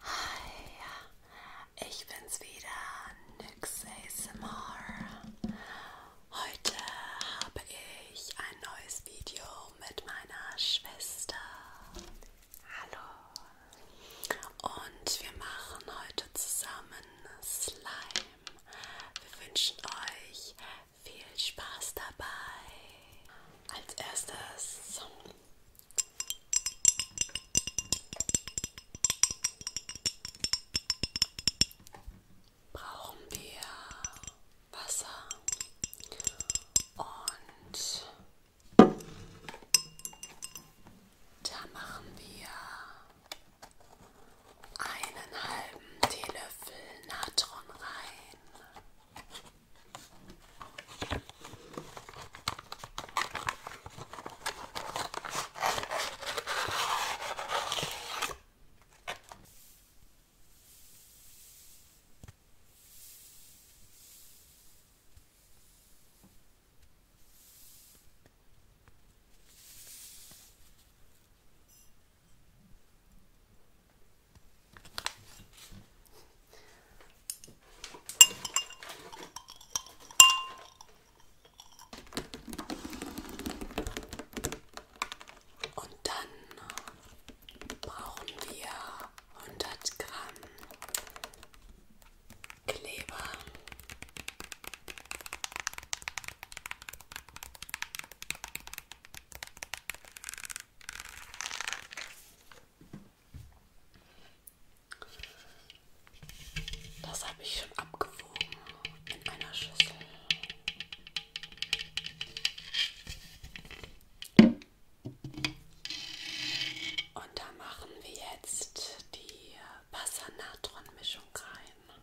Hi, ich bin's wieder, Nix ASMR. Heute habe ich ein neues Video mit meiner Schwester. Hallo. Und wir machen heute zusammen Slime. Wir wünschen euch viel Spaß dabei. Als erstes brauchen wir Wasser und da machen wir einen halben Teelöffel Natron rein. Und dann brauchen wir 100 Gramm Kleber. Das habe ich schon abgewogen in einer Schüssel. Und da machen wir jetzt die Passanatron-Mischung rein.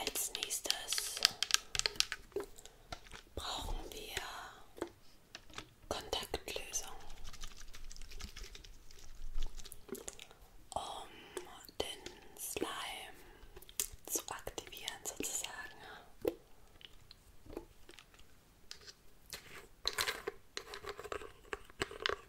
Als nächstes brauchen wir Kontaktlösung, um den Slime zu aktivieren sozusagen.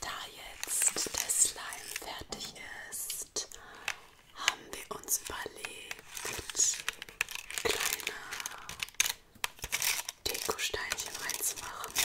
Da jetzt der Slime fertig ist, jetzt haben wir uns überlegt, kleine Dekosteinchen reinzumachen.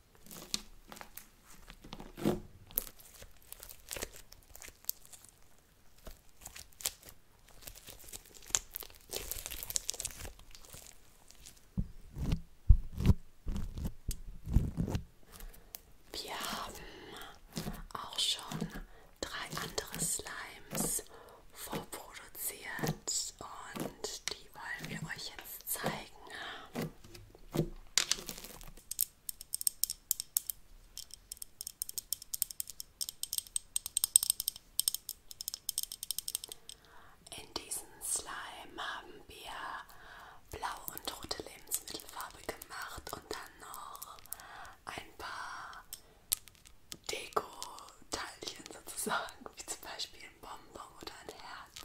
Wir haben auch schon drei andere Slimes vorproduziert und die wollen wir euch jetzt jetzt zeigen. In diesen Slime haben wir blau und rote Lebensmittelfarbe gemacht und dann noch ein paar Deko-Teilchen sozusagen, wie zum Beispiel ein Bonbon oder ein Herz.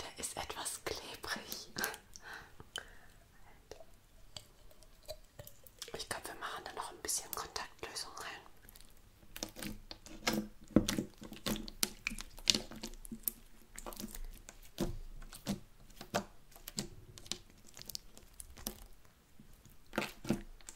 Der ist etwas klebrig. Ich glaube, wir machen da noch ein bisschen Kontaktlösung rein.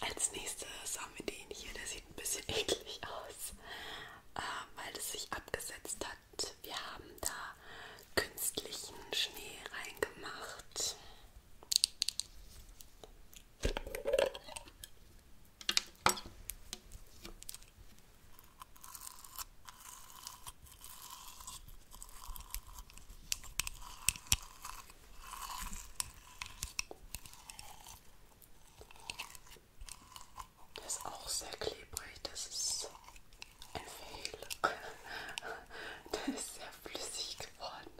Als nächstes haben wir den hier, der sieht ein bisschen eklig aus, äh, weil es sich abgesetzt hat. Wir haben da künstlichen Schnee reingemacht. Der ist auch sehr klebrig, das ist ein Fehl. Der ist sehr flüssig geworden.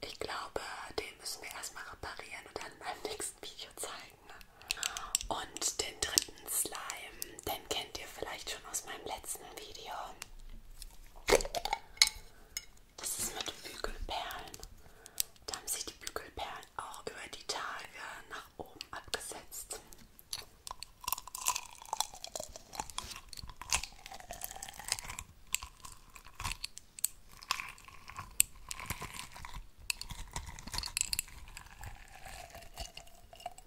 Ich glaube, den müssen wir erstmal reparieren und dann beim nächsten Video zeigen. Ne? Und den dritten Slime, den kennt ihr vielleicht schon aus meinem letzten Video. Das ist mit Bügelperlen. Da haben sich die Bügelperlen auch über die Tage nach oben abgesetzt.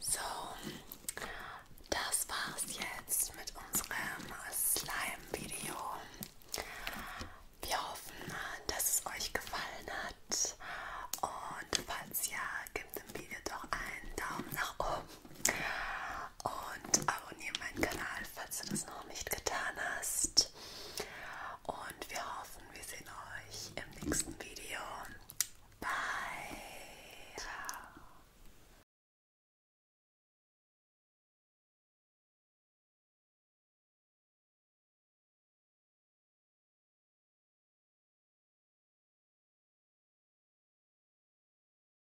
So, das war's jetzt mit unserem Slime-Video. Wir hoffen, dass es euch gefallen hat. Und falls ja, gebt dem Video doch einen Daumen nach oben und abonniere meinen Kanal, falls du das noch nicht getan hast. Und wir hoffen, wir sehen euch im nächsten Video. Bye!